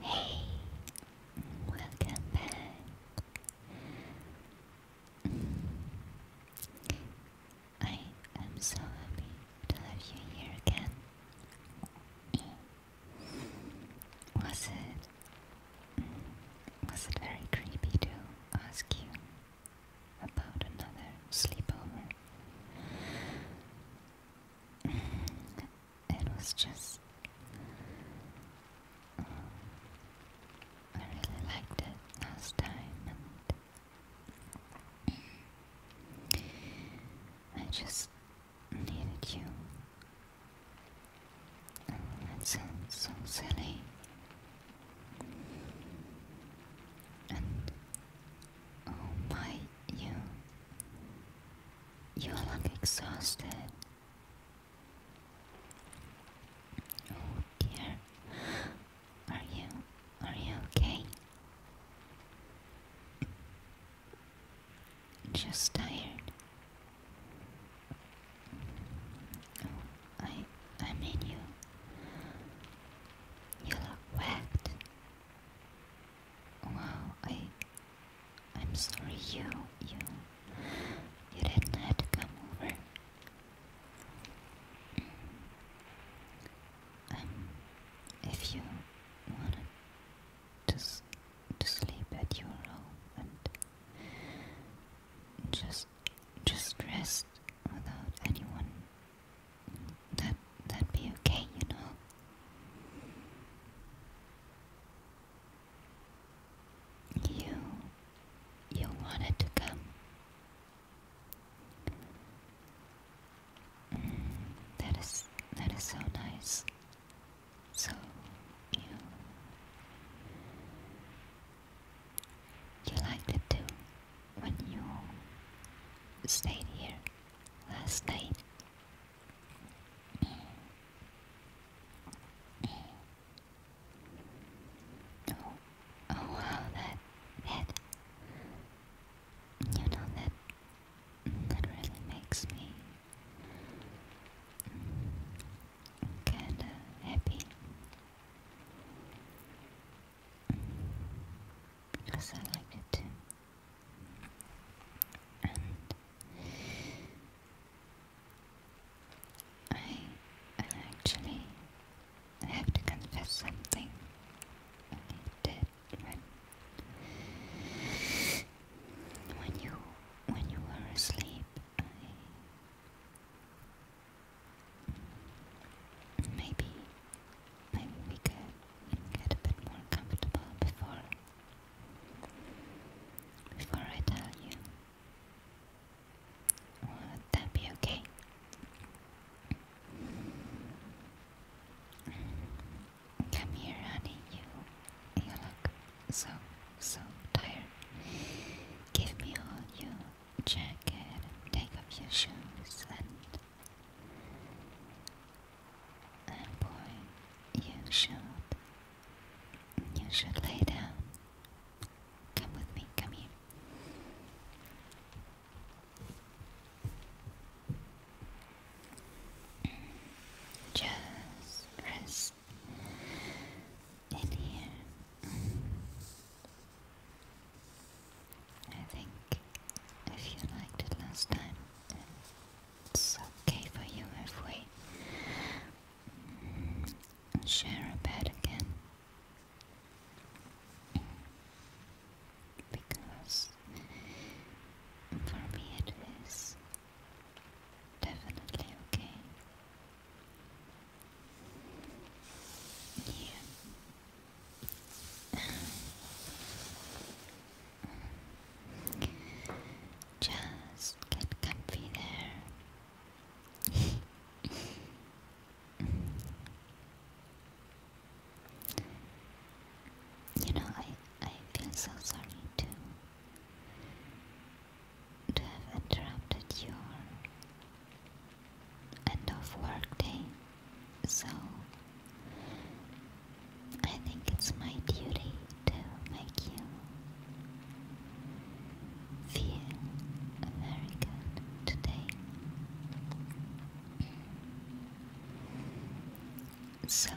Hey, welcome back. I am so happy to have you here again. Was it was it very creepy to ask you about another sleepover? it was just. I really liked it last time, and I just needed you. that sounds so silly. And oh my, you you look exhausted. Oh dear. Are you are you okay? Just tired. Oh, I I mean you. You look wet. Wow, I I'm sorry you, you, you didn't have to come over. Um, if you wanted to, to sleep at your room and just, just rest without anyone, that that'd be okay, you know. You you wanted to come. Mm, that is that is so nice. So you you liked it too when you stayed here last night. Oh, oh wow, that, that, you know, that, that really makes me kinda happy. Because I like it too. I, actually have to confess something. when you when you were asleep. Maybe, maybe we could get a bit more comfortable before before I tell you. Would that be okay? Come here, honey. You, you look so, so tired. Give me your jacket take off your shoes and and boy, you should. You should lay down. Come with me, come here. Just rest in here. I think if you liked it last time, it's okay for you if we share a bed again. Because for me it is definitely okay. Yeah. Just get comfy there. you know, I I feel so sorry to to have interrupted your end of work day. So I think it's my duty to make you feel very good today. So,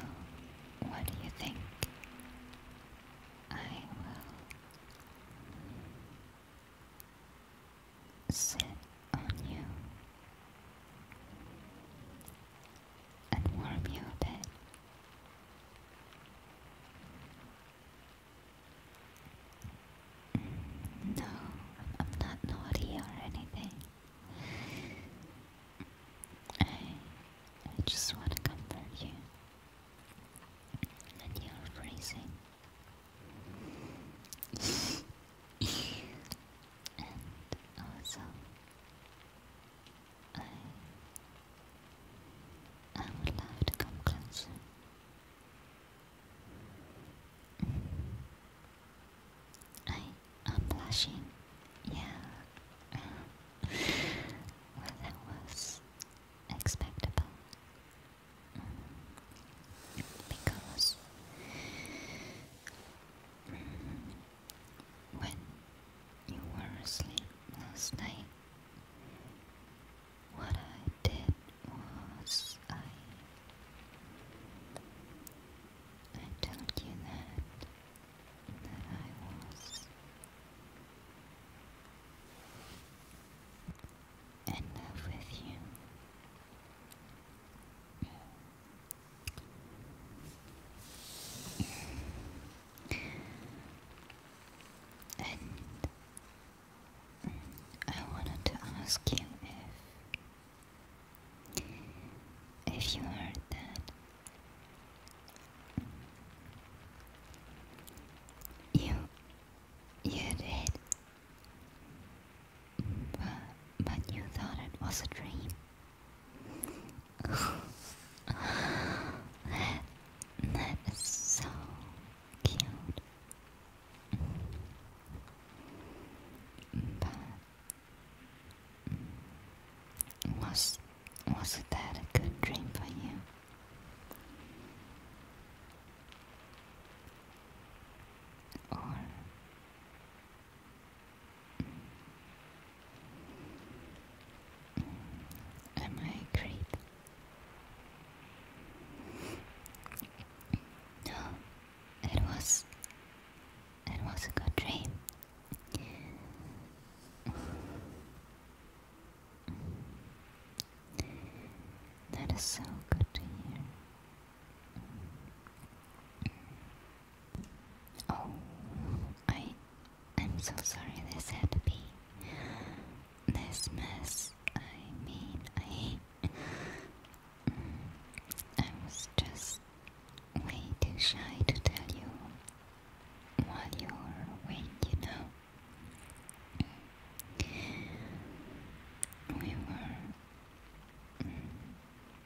what do you think? I will sit on you and warm you a bit. Mm, no, I'm not naughty or anything. I, I just want to comfort you. And you're freezing. and also I I would love to come closer. Mm. I am blushing. Yeah, that was expectable. Because when you were asleep last night. What I did was I I told you that that I was in love with you. And I wanted to ask you if if you heard that you you did but, but you thought it was a dream that is so cute. Mm, was was that a good dream for you? Or Am I great? No, it was. It was a good dream. That is so good to hear. Oh, I, I'm so sorry this had to be this mess. I mean, I, I was just way too shy to tell you while you were away, you know. We were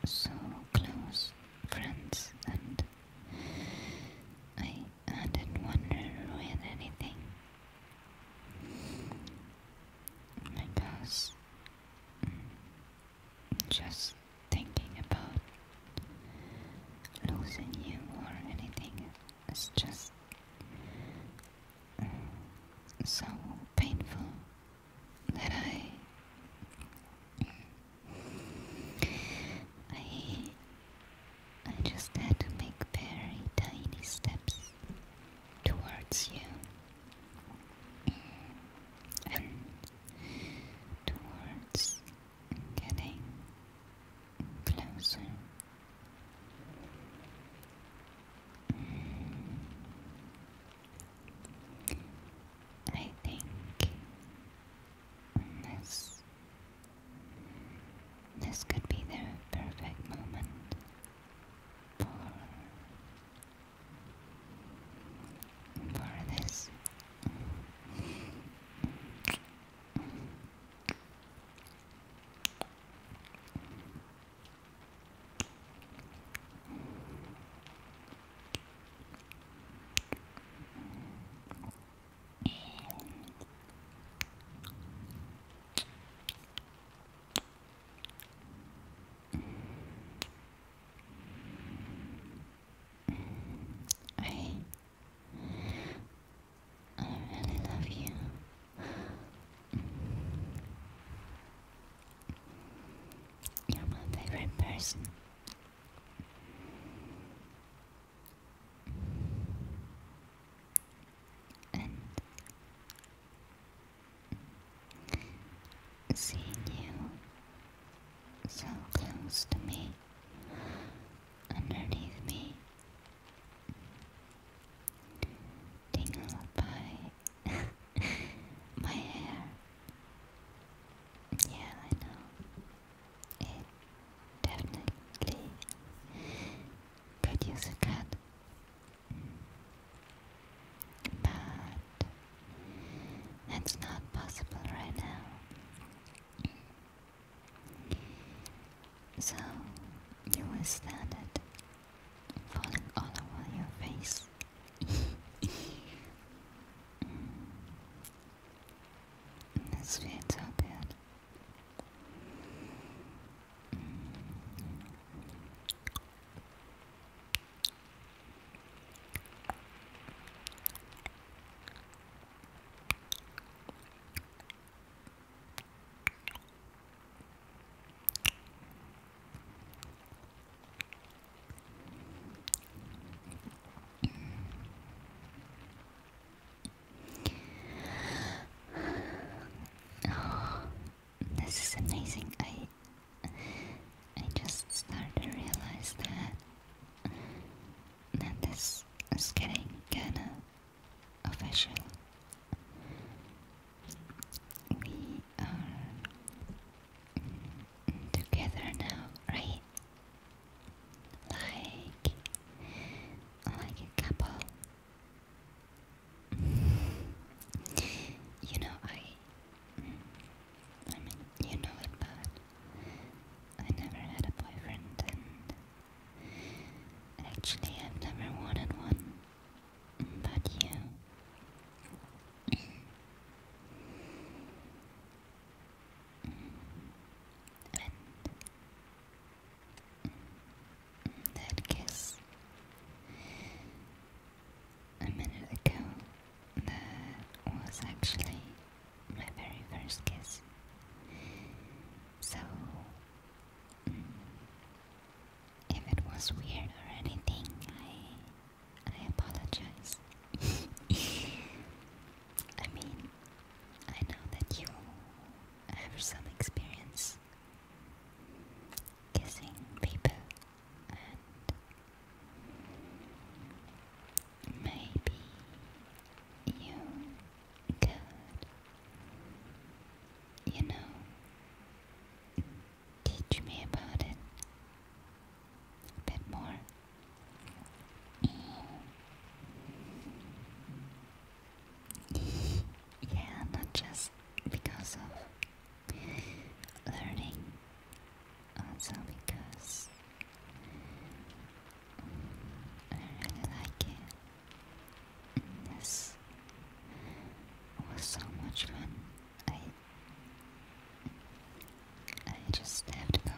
so close friends, and I, didn't want to ruin anything because mm, just thinking about losing you or anything is just mm, so painful that I I I just had to make very tiny steps towards you and towards getting closer. And I think this this could be the perfect moment for for this. I really love you. You're my favorite person. And seeing you so close to me, underneath me, tingled by My hair. Yeah, I know. It definitely could use a cut. But that's not possible right now. So you will stand it falling all over your face this feels so good. Oh, this is amazing. I I just started to realize that that this is getting kinda official. We are together now, right? Like, like a couple. you know, I, I mean, you know it, but I never had a boyfriend, and actually, I've never wanted one. But you, that kiss a minute ago, that was actually my very first kiss. So, mm, if it was weird or anything, I I apologize. I mean, I know that you have some experience kissing people, and maybe you could, you know, Teach me about it a bit more. yeah, not just because of learning, also because I really like it. And this was so much fun. I I just have to go on.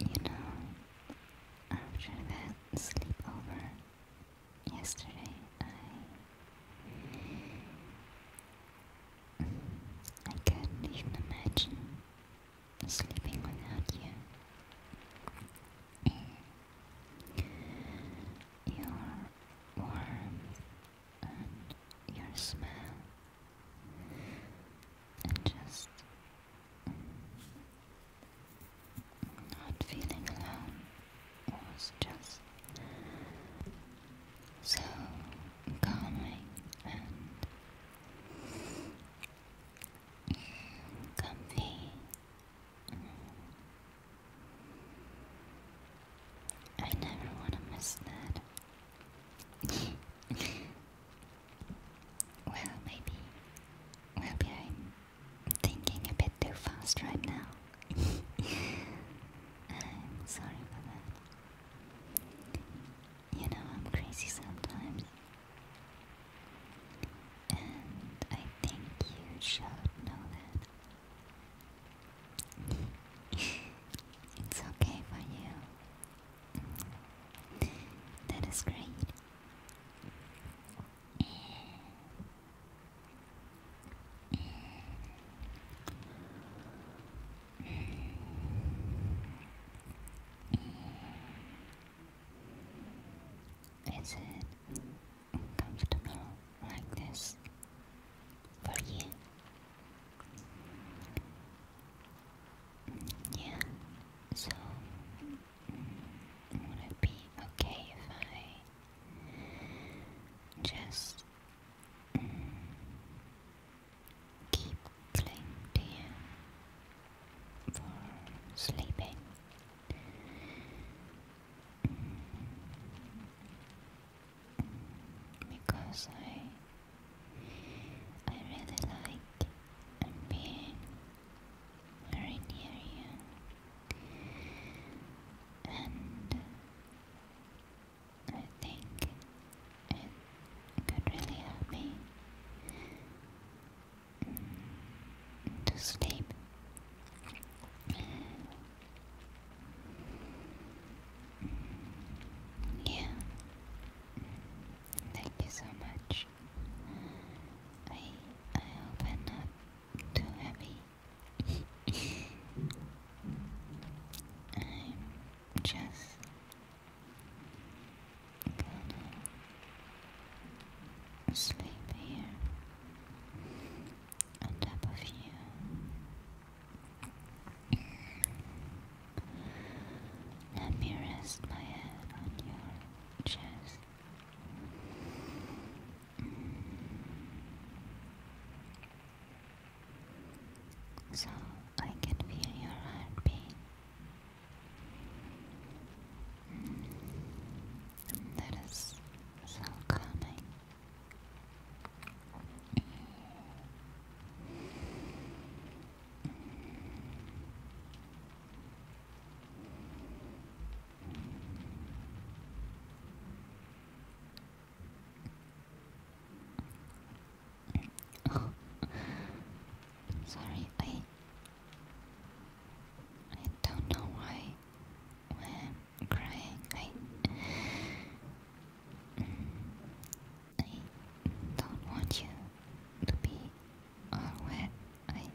You know, after that sleepover yesterday, I. I couldn't even imagine sleeping without you. Your warmth and your smell and just not feeling alone was just so calming and comfy. I never want to miss that. Well, maybe. I'm thinking a bit too fast right now. I'm sorry for that. You know, I'm crazy sometimes. And I think you should know that. it's okay for you. That is great. Is it comfortable like this for you? Yeah, so would it be okay if I just mm, keep clinging to you for sleeping? Because I I really like being very near you, and I think it could really help me to sleep. Yeah, thank you so much. I I hope I'm not too heavy. I'm just gonna sleep here on top of you. Let me rest my head on your chest. So I can feel your heartbeat. That is so calming. Oh. Sorry, I I don't know why why crying. I I don't want you to be uh, where I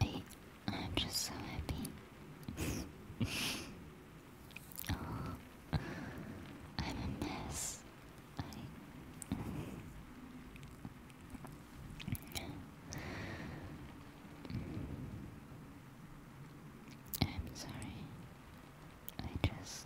I am just so happy. oh, I'm a mess. I'm sorry. I just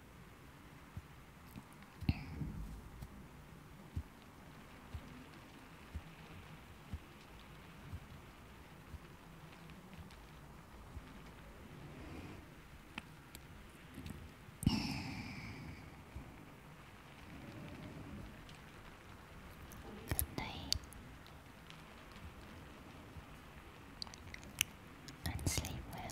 Good night and sleep well.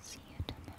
See you tomorrow.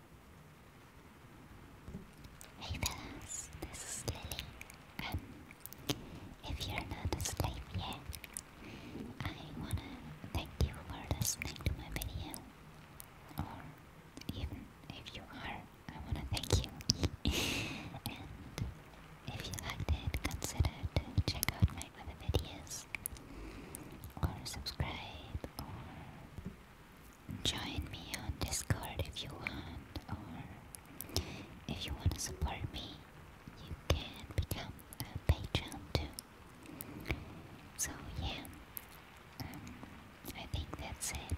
Hey fellas, this is Lily. Um, if you're not asleep yet, I wanna thank you for listening to my video. Or even if you are, I wanna thank you. and if you liked it, consider check out my other videos, or subscribe, Join me on Discord if you want, or if you want to support me, you can become a patron too. So, yeah, um, I think that's it.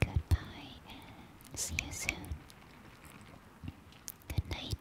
Goodbye see you soon. Good night.